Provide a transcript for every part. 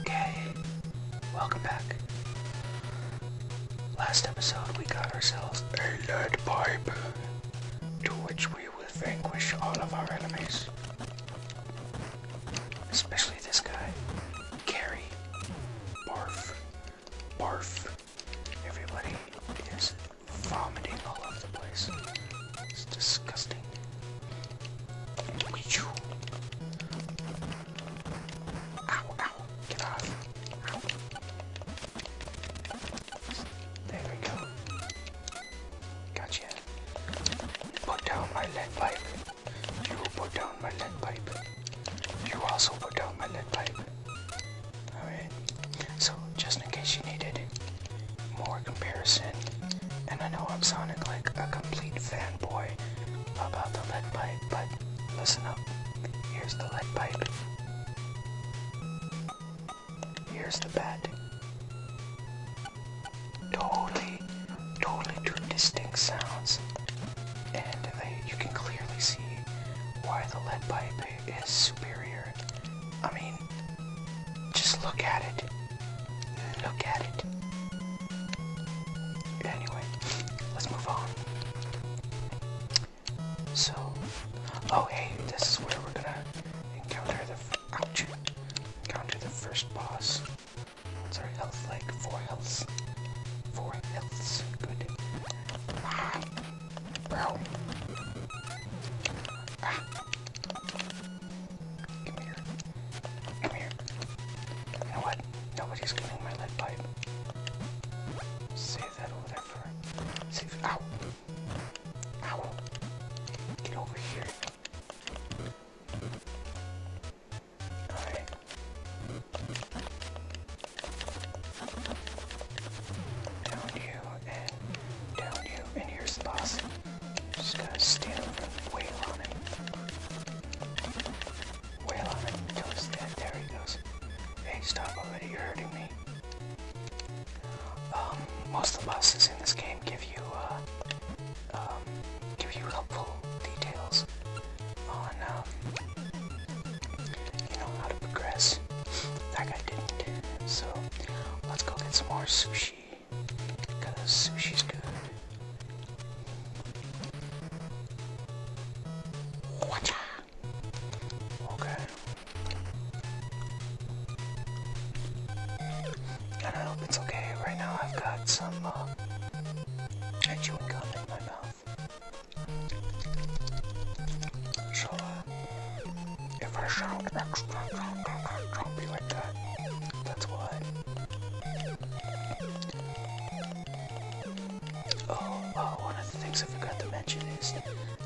Okay, welcome back. Last episode, we got ourselves a lead pipe, to which we will vanquish all of our enemies. Especially this guy, Carrie. Barf. Barf. Everybody is vomiting all over the place. It's disgusting. You. Ow, ow, get off. There we go. Gotcha. Put down my lead pipe. You put down my lead pipe. You also put down my lead pipe. Alright. So, just in case you needed more comparison. And I know I'm sounding like a complete fanboy about the lead pipe, but listen up. Here's the lead pipe. Here's the bat. Totally, totally two distinct sounds. And they, you can clearly see why the lead pipe is superior. I mean, just look at it. Look at it. Anyway, let's move on. So, oh hey, this is where we're gonna encounter the encounter the first boss. What's our health like? Four healths. Four healths. Good. Ah, Come here. Come here. You know what? Nobody's cleaning my lead pipe. Save that over there for. Save. Ow! Ow! Get over here. Alright. Down you and down you, and here's the boss. Just gotta stand over and wail on him. Wail on him until he's dead. There he goes. Hey, stop already, you're hurting me. Um, most of the bosses in this game give you, uh, um, give you helpful details on, um, you know, how to progress. That guy didn't. So, let's go get some more sushi. Cause sushi's good. Watcha. Okay. And I hope it's okay. Right now I've got some uh, in my mouth. So, if I shout extra drunk, i will like that. That's why. Oh, oh, one of the things I forgot to mention is,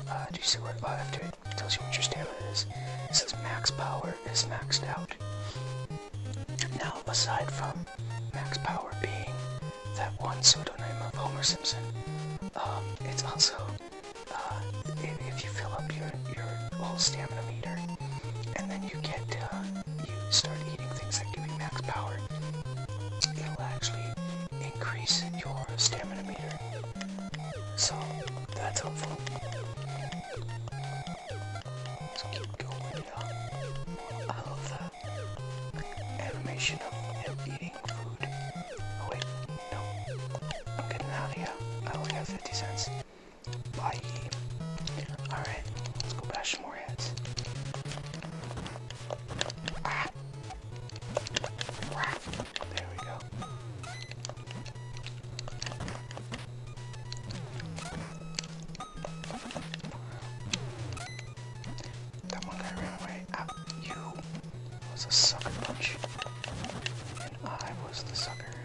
uh, do you see where, uh, after it tells you what your stamina is, it says max power is maxed out. Now, aside from max power being that one pseudonym of Homer Simpson, um, it's also uh, if you fill up your, your whole stamina meter, and then you get, uh, you start eating things like give max power, it'll actually increase your stamina meter. So, that's helpful. Let's keep going I love the animation of eating food. Oh, no. I'm getting out of here. I only have 50 cents. Bye. Alright, let's go bash more heads. There we go. That one guy away. Ah, you was a sucker punch. I was the sucker.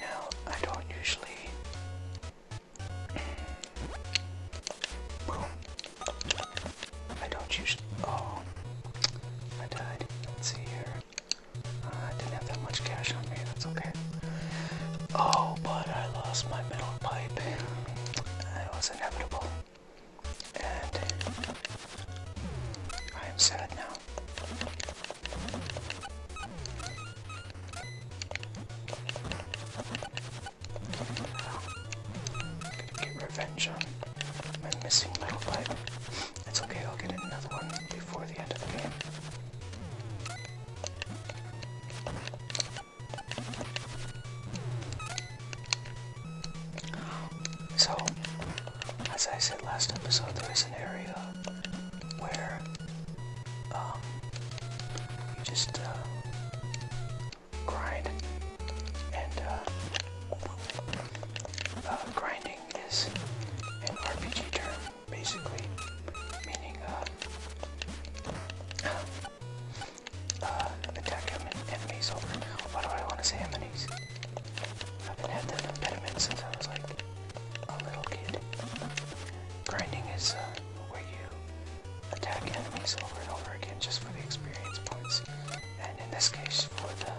Now, I don't usually. Boom. I don't usually. Oh. I died. Let's see here. Uh, I didn't have that much cash on me, that's okay. Oh, but I lost my metal pipe. It was inevitable. And I am sad now. Gonna get revenge on my missing metal pipe. It's okay, I'll get another one before the end of the game. So, as I said last episode, there is an area where um, you just uh, grind, and uh, uh, grinding is an RPG term basically, meaning uh, uh, attack him and enemies. Over. Why do I want to say enemies? I've been at the impediment since I was like a little kid. Grinding is uh, where you attack enemies over and over again just for the experience points, and in this case for the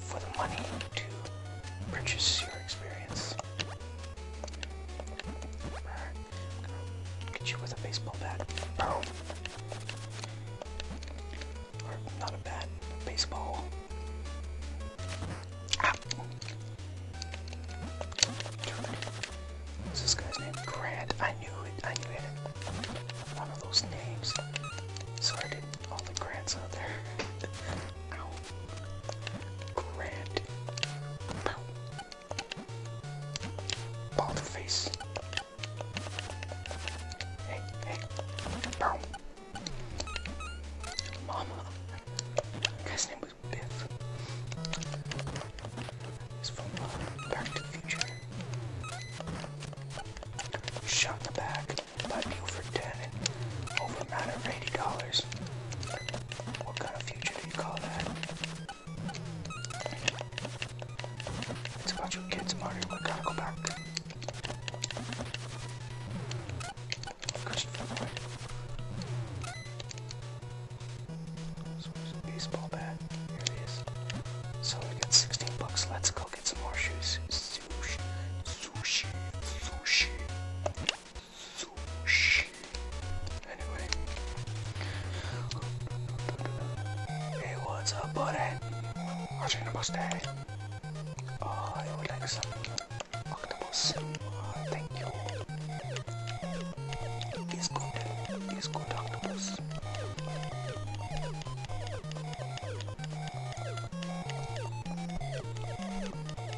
for the money to purchase your experience. Get you with a baseball bat. Oh, not a bat, baseball. Ah. What's this guy's name? Grant. I knew it. I knew it. One of those names. Sorry, did all the grants out there. Grand. Bald face. Hey, hey. Boom. Mama. Guy's name was Biff. It's from Back to the Future. Shot in the back by Buford Dead over a of $80. What kind of future do you call that? It's about you kids, Mario. We gotta go back. Christopher, baseball bat. Here it is. So we got 16 bucks. Let's go get some more shoes. Sushi. Sushi. Sushi so Anyway. Hey, what's up, buddy? Watching the bus day. Oh, I would like octopus. Oh, thank you. He's good. He's good octopus.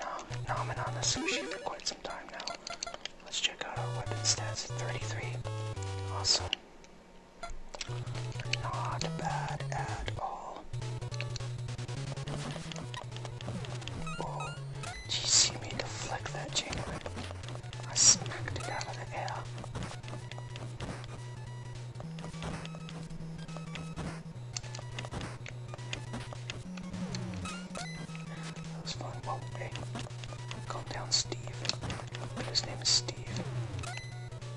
I've been on the sushi for quite some time now. Let's check out our weapon stats 33. Awesome. Not bad at all. Oh, did you see me that chain whip? I smacked it out of the air. That was fun. Whoa, hey. Calm down, Steve. His name is Steve.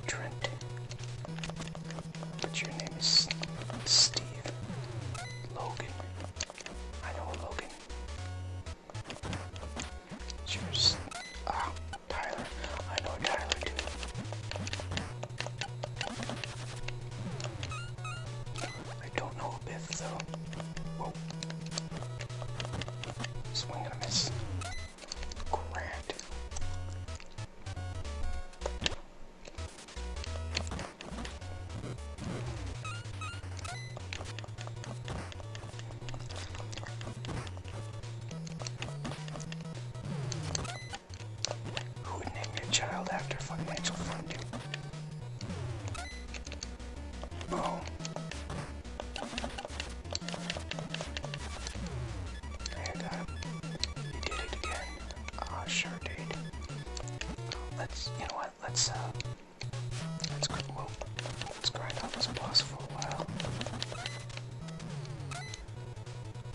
Trent. But your name is Steve. Logan. I know a Logan. yours. Ah, Tyler. I know Tyler, I don't know a if though. Whoa. Swing and a miss. Grand. Who would name your child after financial funding? Oh. There uh, that. You did it again. Ah, sure did. Let's, you know what, let's, uh, let's, whoa, let's grind out this boss for a while.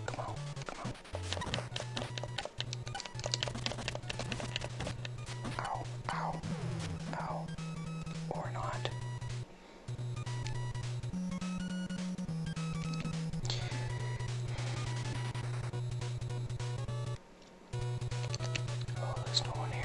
Come on, come on. Ow, ow, ow. Or not. Oh, there's no one here.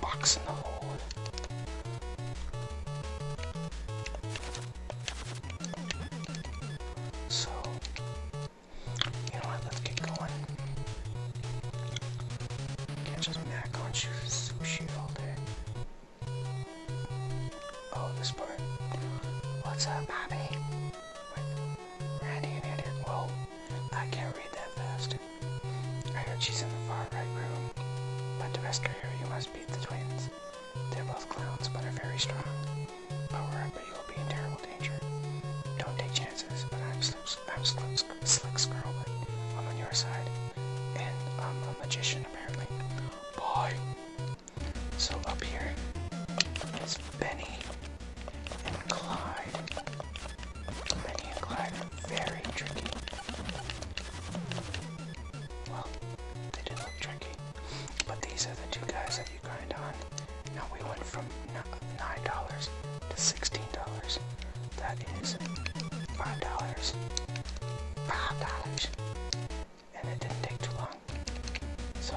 Box in the hole. So, you know what? Let's get going. Can't just mac on sushi all day. Oh, this part. What's up, Bobby? Randy and Andrew. Whoa, I can't read that fast. I heard she's in the far right room. But to rescue her, you must beat the twins. They're both clowns, but are very strong. Power up, you'll be in terrible danger. Don't take chances, but I'm Slick, slick, slick Squirrel, I'm on your side. And I'm a magician, apparently. Boy! So up here is Benny and Clyde. Penny and are very tricky. Well, they do look tricky. But these are the two guys that you grind on. Now we went from $9 to $16. That is $5. $5. And it didn't take too long. So.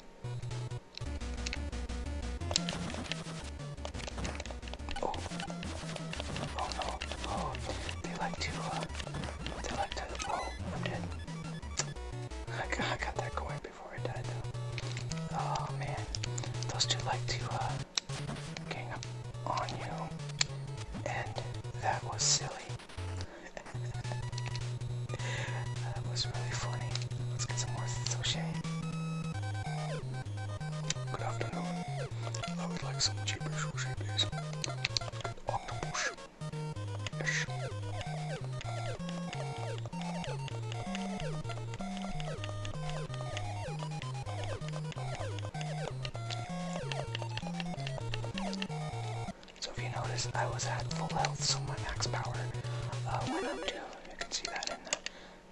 Oh. Oh no. Oh. They like to, they like to, oh, I'm dead. I got, that going before I died though. Oh man. Those two like to, uh, gang up on you. And that was silly that was really funny. Let's get some more sushi. Good afternoon. I would like some cheaper sushi, please. Octopus. Yes. So if you notice, I was at full health, so my max power uh, went up too. You can see that in the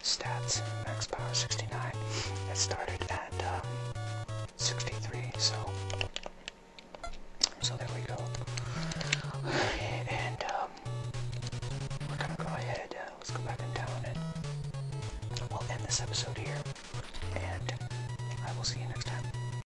stats, max power 69. It started at um, 63, so so there we go. And um, we're gonna go ahead. Uh, let's go back in town, and we'll end this episode here. And I will see you next time.